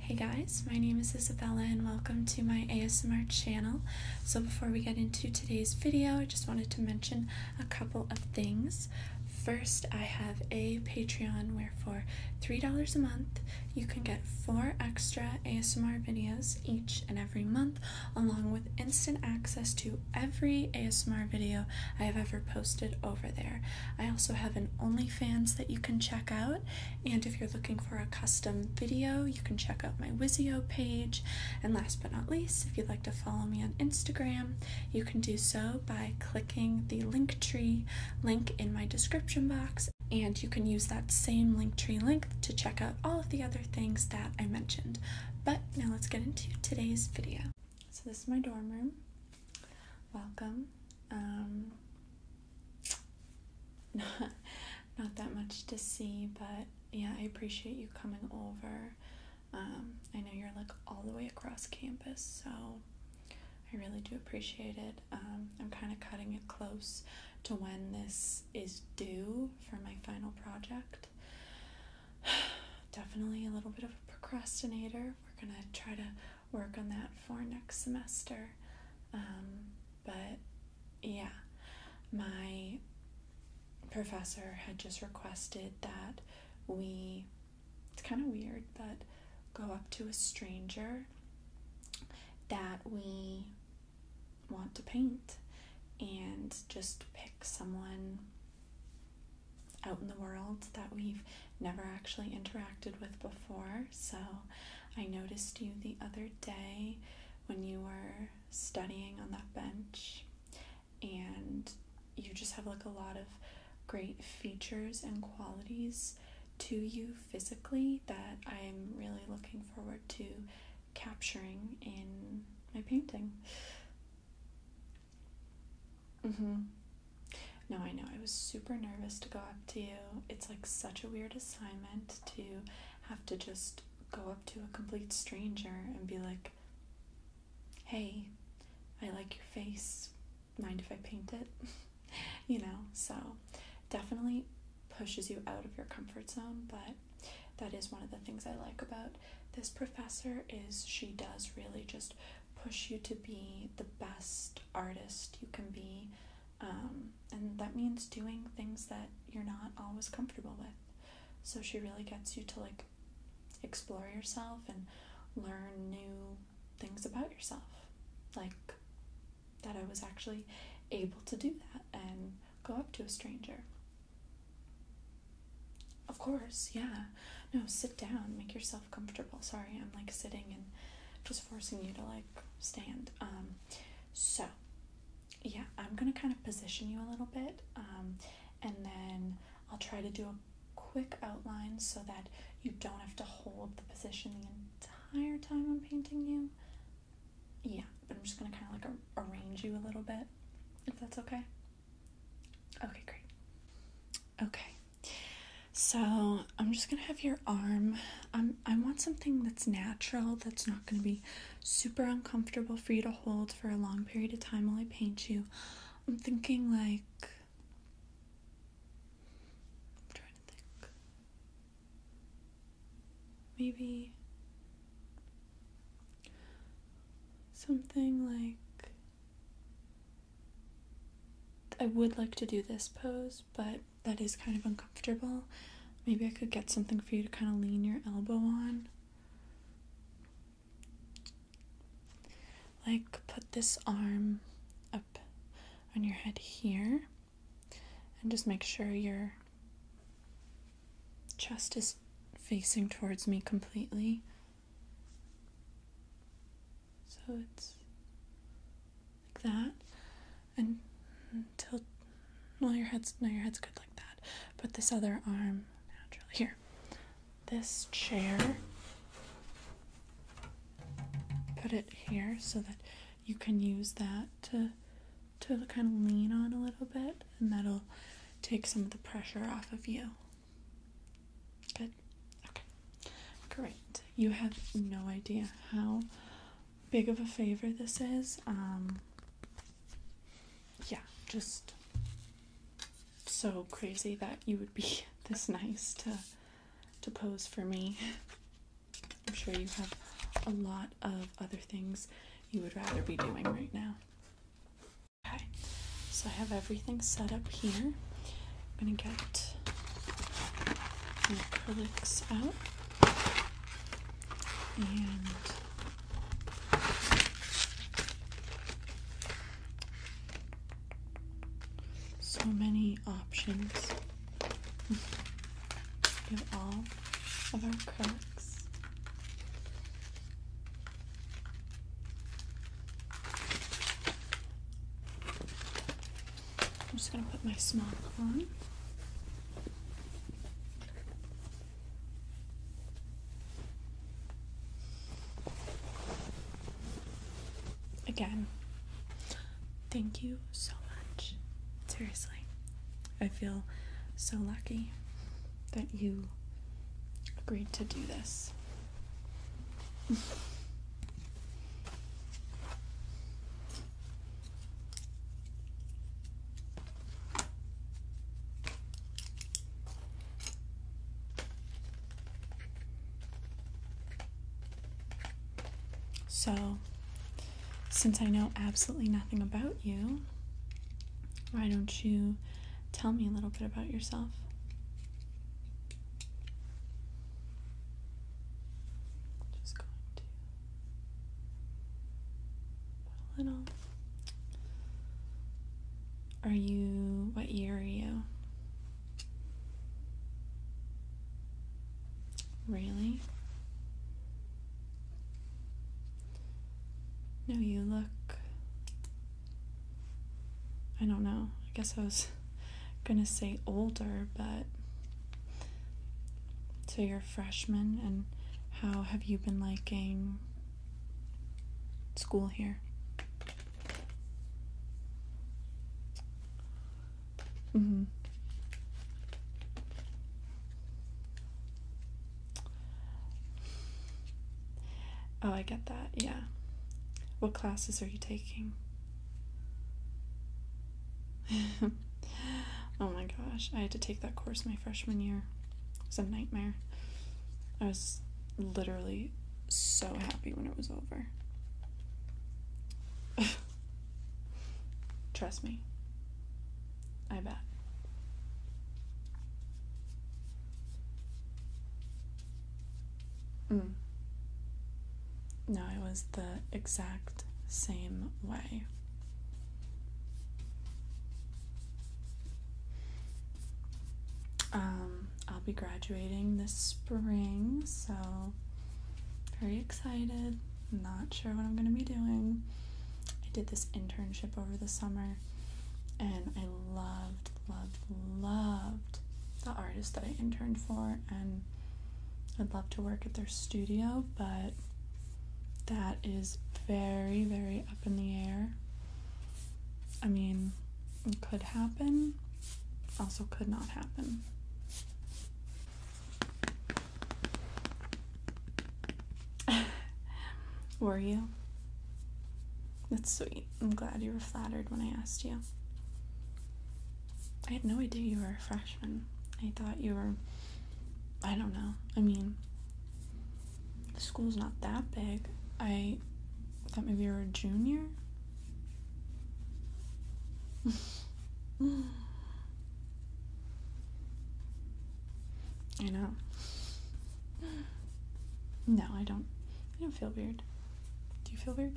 Hey guys, my name is Isabella and welcome to my ASMR channel. So before we get into today's video, I just wanted to mention a couple of things. First, I have a Patreon where for $3 a month, you can get four extra ASMR videos each and every month, along with instant access to every ASMR video I have ever posted over there. I also have an OnlyFans that you can check out and if you're looking for a custom video, you can check out my Wizio page. And last but not least, if you'd like to follow me on Instagram, you can do so by clicking the Linktree link in my description box. And you can use that same Linktree link to check out all of the other things that I mentioned. But now let's get into today's video. So, this is my dorm room. Welcome. Um, not, not that much to see, but yeah, I appreciate you coming over. Um, I know you're like all the way across campus, so I really do appreciate it. Um, I'm kind of cutting it close to when this is due for my final project. Definitely a little bit of a procrastinator. We're gonna try to work on that for next semester. Um, but yeah, my professor had just requested that we, it's kind of weird, but go up to a stranger that we want to paint and just pick someone out in the world that we've never actually interacted with before so I noticed you the other day when you were studying on that bench, and you just have like a lot of great features and qualities to you physically that I'm really looking forward to capturing in my painting. Mm-hmm. No, I know. I was super nervous to go up to you. It's like such a weird assignment to have to just go up to a complete stranger and be like, hey, I like your face. Mind if I paint it? you know, so definitely pushes you out of your comfort zone, but that is one of the things I like about this professor is she does really just push you to be the best artist you can be um, and that means doing things that you're not always comfortable with. So she really gets you to like explore yourself and learn new things about yourself. Like that I was actually able to do that and go up to a stranger. Of course, yeah. No, sit down, make yourself comfortable. Sorry, I'm like sitting and just forcing you to like stand. Um, so yeah, I'm gonna kind of position you a little bit, um, and then I'll try to do a quick outline so that you don't have to hold the position the entire time I'm painting you. Yeah, but I'm just gonna kind of like arrange you a little bit, if that's okay. Okay, great. Okay, so I'm just gonna have your arm. Um, I want something that's natural, that's not gonna be super uncomfortable for you to hold for a long period of time while I paint you. I'm thinking like I'm trying to think. Maybe something like I would like to do this pose, but that is kind of uncomfortable. Maybe I could get something for you to kind of lean your elbow on. Like, put this arm up on your head here, and just make sure your chest is facing towards me completely. So it's like that, and tilt. Well, your head's no, your head's good like that. Put this other arm naturally here. This chair. Put it here so that you can use that to to kind of lean on a little bit, and that'll take some of the pressure off of you. Good. Okay. Great. You have no idea how big of a favor this is. Um, yeah, just so crazy that you would be this nice to to pose for me. I'm sure you have a lot of other things you would rather be doing right now. Okay, so I have everything set up here. I'm gonna get my acrylics out. And so many options. we all of our cracks. I'm just going to put my smock on. Again, thank you so much. Seriously, I feel so lucky that you agreed to do this. So, since I know absolutely nothing about you, why don't you tell me a little bit about yourself? Just going to a little. Are you. What year are you? Really? No, you look. I don't know. I guess I was gonna say older, but so you're freshman, and how have you been liking school here? Mm-hmm. Oh, I get that. Yeah. What classes are you taking? oh my gosh, I had to take that course my freshman year. It was a nightmare. I was literally so happy when it was over. Trust me. I bet. Mm. No, it was the exact same way. Um, I'll be graduating this spring, so very excited. Not sure what I'm going to be doing. I did this internship over the summer and I loved, loved, loved the artist that I interned for and I'd love to work at their studio, but that is very, very up in the air. I mean, it could happen, also could not happen. were you? That's sweet. I'm glad you were flattered when I asked you. I had no idea you were a freshman. I thought you were, I don't know. I mean, the school's not that big. I thought maybe you were a junior. I know. No, I don't. I don't feel weird. Do you feel weird?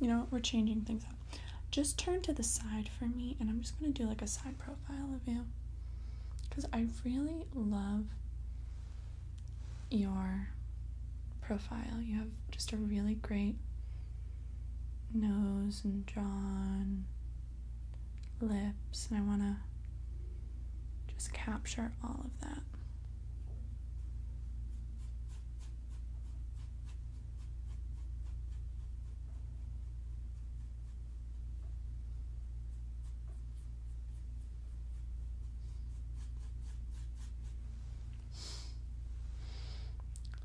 You know We're changing things up. Just turn to the side for me, and I'm just going to do like a side profile of you. Because I really love your profile. You have just a really great nose and jaw lips, I want to just capture all of that.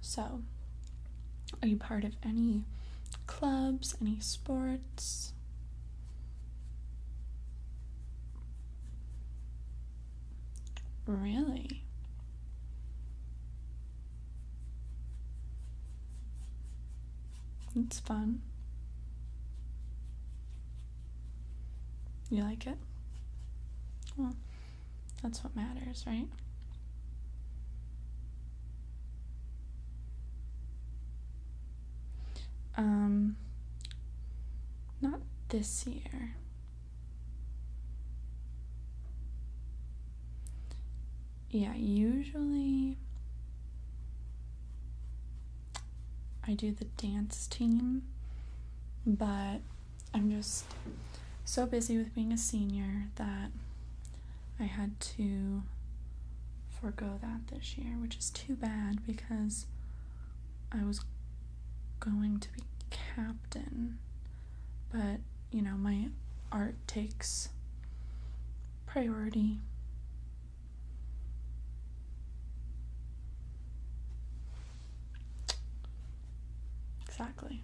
So, are you part of any clubs, any sports? Really? It's fun. You like it? Well, that's what matters, right? Um, not this year. Yeah, usually I do the dance team, but I'm just so busy with being a senior that I had to forego that this year, which is too bad because I was going to be captain. But, you know, my art takes priority. Exactly.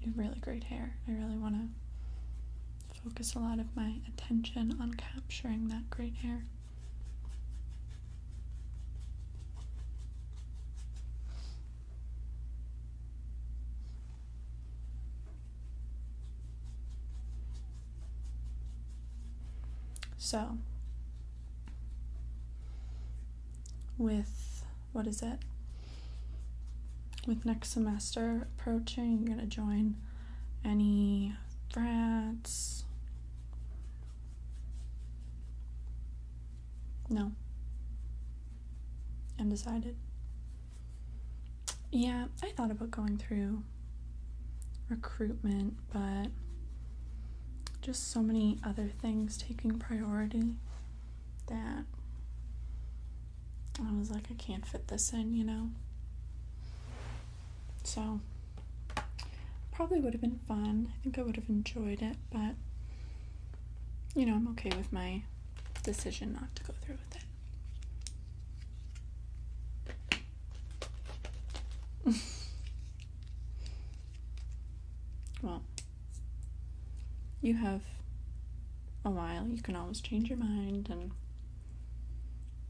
You have really great hair. I really want to focus a lot of my attention on capturing that great hair. So, with what is it? With next semester approaching, you're going to join any frats. No. I'm decided. Yeah, I thought about going through recruitment but just so many other things taking priority that I was like, I can't fit this in, you know? So, probably would have been fun. I think I would have enjoyed it, but you know, I'm okay with my decision not to go through with it. Well, you have a while. You can always change your mind and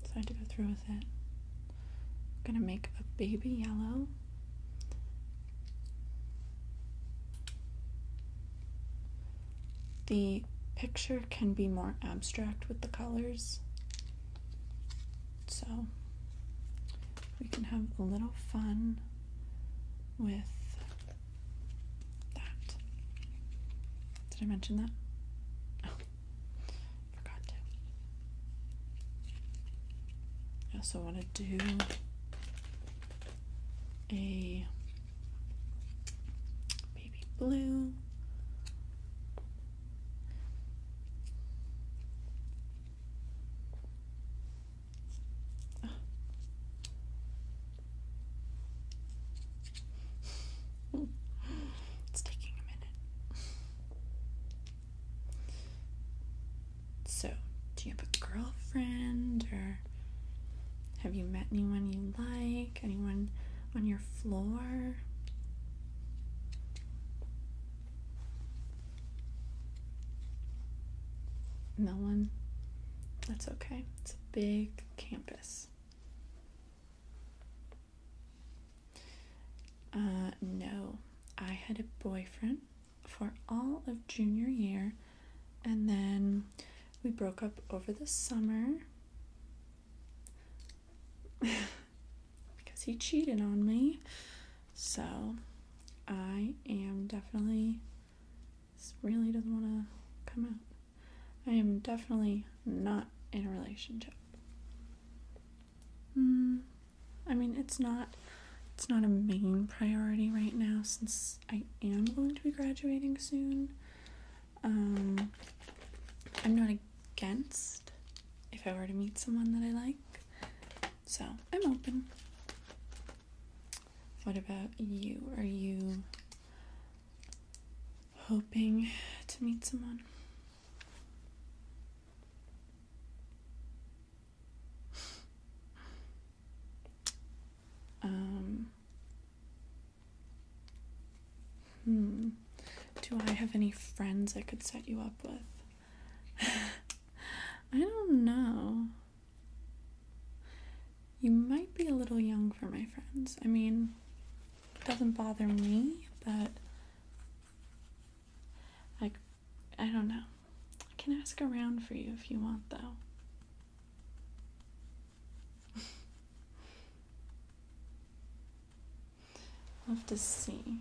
decide to go through with it. I'm gonna make a baby yellow. The picture can be more abstract with the colors. So we can have a little fun with that. Did I mention that? Oh, forgot to. I also want to do a baby blue. it's taking a minute. So, do you have a girlfriend or have you met anyone you like? Anyone on your floor? No one. That's okay. It's a big campus. Uh, no, I had a boyfriend for all of junior year, and then we broke up over the summer. because he cheated on me. So I am definitely. This really doesn't want to come out. I am definitely not in a relationship. Mm, I mean, it's not it's not a main priority right now since I am going to be graduating soon. Um, I'm not against if I were to meet someone that I like. So I'm open. What about you? Are you hoping to meet someone? Um, hmm. Do I have any friends I could set you up with? I don't know. You might be a little young for my friends. I mean, it doesn't bother me, but like I don't know. I can ask around for you if you want though. have to see.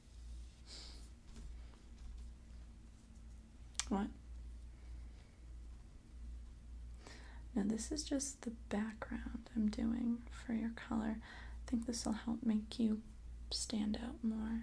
What? Now this is just the background I'm doing for your color. I think this will help make you stand out more.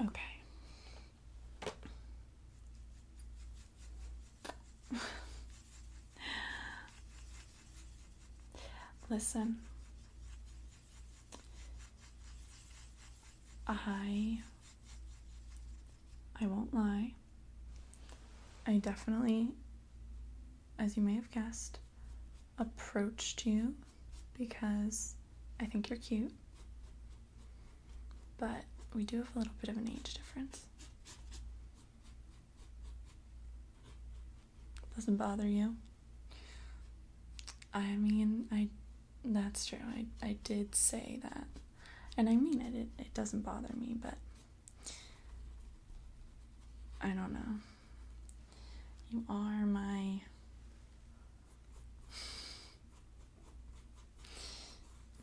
Okay. Listen. I I won't lie. I definitely as you may have guessed approached you because I think you're cute. But we do have a little bit of an age difference. Doesn't bother you? I mean, I that's true. I I did say that and I mean it, it, it doesn't bother me, but I don't know. You are my.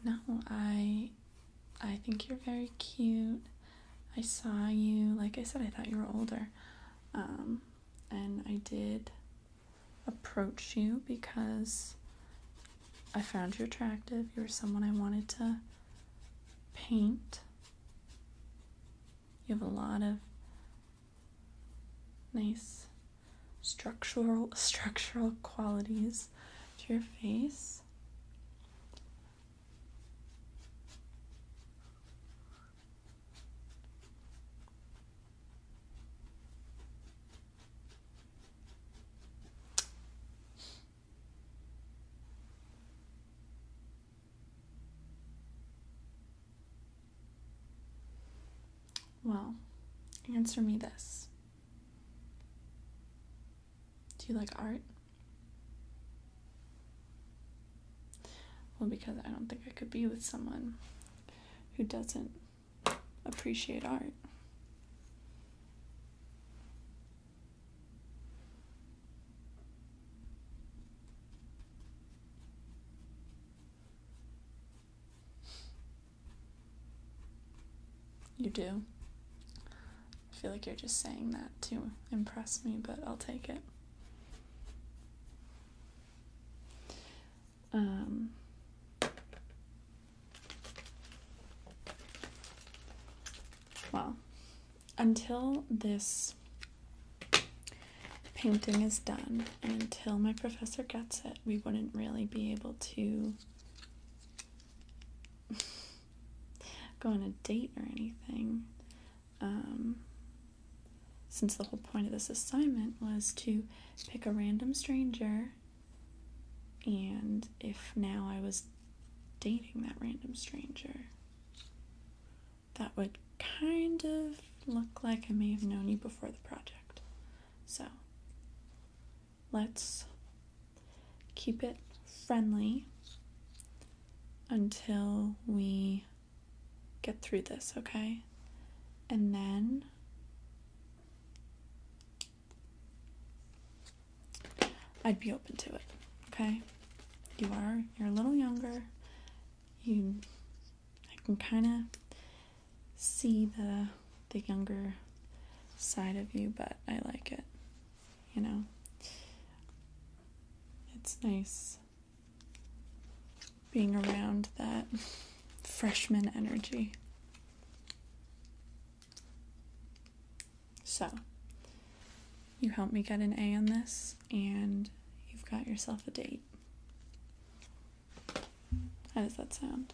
No, I I think you're very cute. I saw you, like I said, I thought you were older. Um, and I did approach you because I found you attractive. You were someone I wanted to paint. You have a lot of nice structural structural qualities to your face. Well, answer me this. Do you like art? Well, because I don't think I could be with someone who doesn't appreciate art. You do. I feel like you're just saying that to impress me, but I'll take it. Um, well, until this painting is done until my professor gets it, we wouldn't really be able to go on a date or anything. Um, since the whole point of this assignment was to pick a random stranger and if now I was dating that random stranger, that would kind of look like I may have known you before the project. So let's keep it friendly until we get through this, okay? And then I'd be open to it. Okay? You are. You're a little younger. You I can kind of see the the younger side of you, but I like it. You know. It's nice being around that freshman energy. So, you helped me get an A on this, and you've got yourself a date. How does that sound?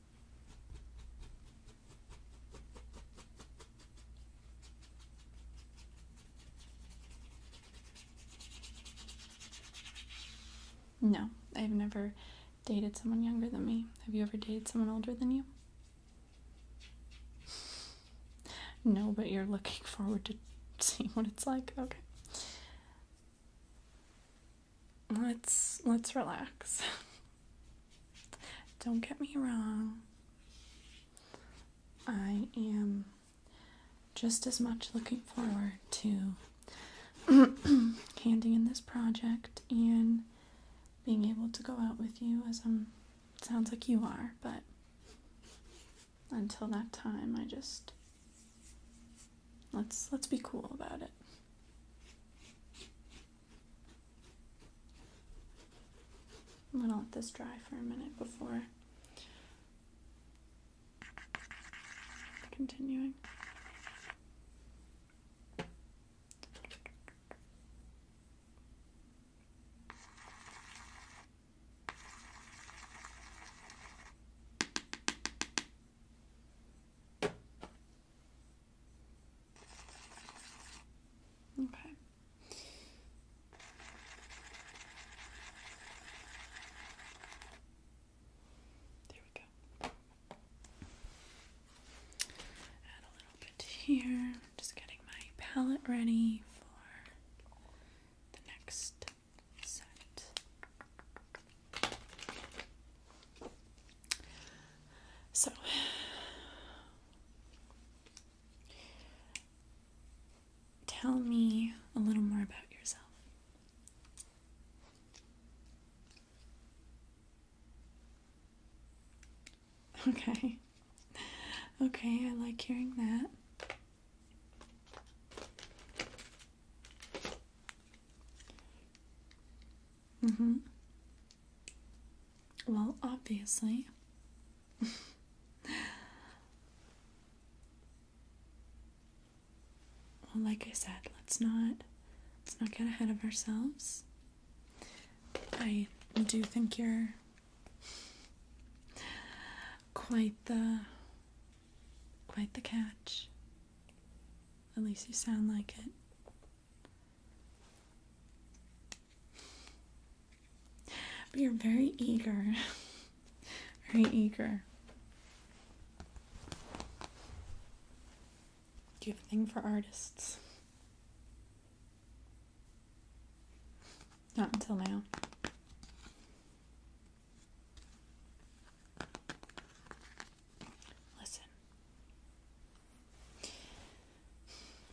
No, I've never dated someone younger than me. Have you ever dated someone older than you? No, but you're looking forward to seeing what it's like. Okay let's let's relax. Don't get me wrong. I am just as much looking forward to handing in this project and being able to go out with you as I'm sounds like you are, but until that time I just let's let's be cool about it. I'm gonna let this dry for a minute before continuing. Okay. There we go. Add a little bit here. just getting my palette ready for the next set. So, tell me a little more about yourself. Okay. Okay, I like hearing that. Mm hmm. Well, obviously. well, like I said, let's not let's not get ahead of ourselves. I do think you're quite the quite the catch. At least you sound like it. But you're very eager. very eager. Do you have a thing for artists? Not until now. Listen.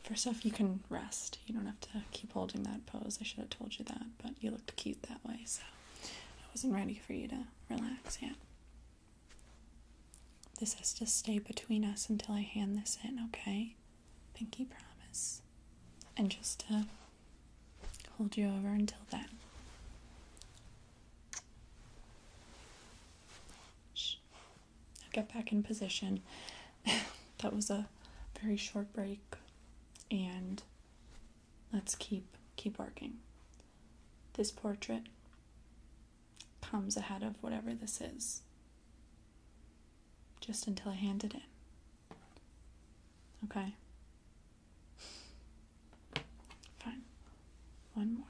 First off, you can rest. You don't have to keep holding that pose. I should have told you that, but you looked cute that way, so I wasn't ready for you to relax yet. This has to stay between us until I hand this in, okay? Pinky promise. And just to uh, hold you over until then. Shh i get back in position. that was a very short break and let's keep keep working. This portrait comes ahead of whatever this is. Just until I hand it in. Okay. Fine. One more.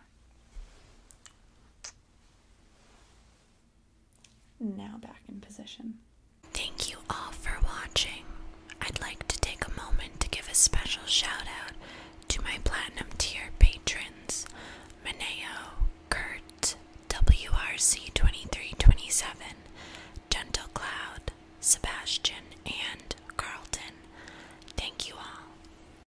Now back in position. Thank you all for watching. I'd like to take a moment to give a special shout out to my platinum tier patrons Mineo, Kurt, WRC2327, Gentle Cloud, Sebastian, and Carlton. Thank you all.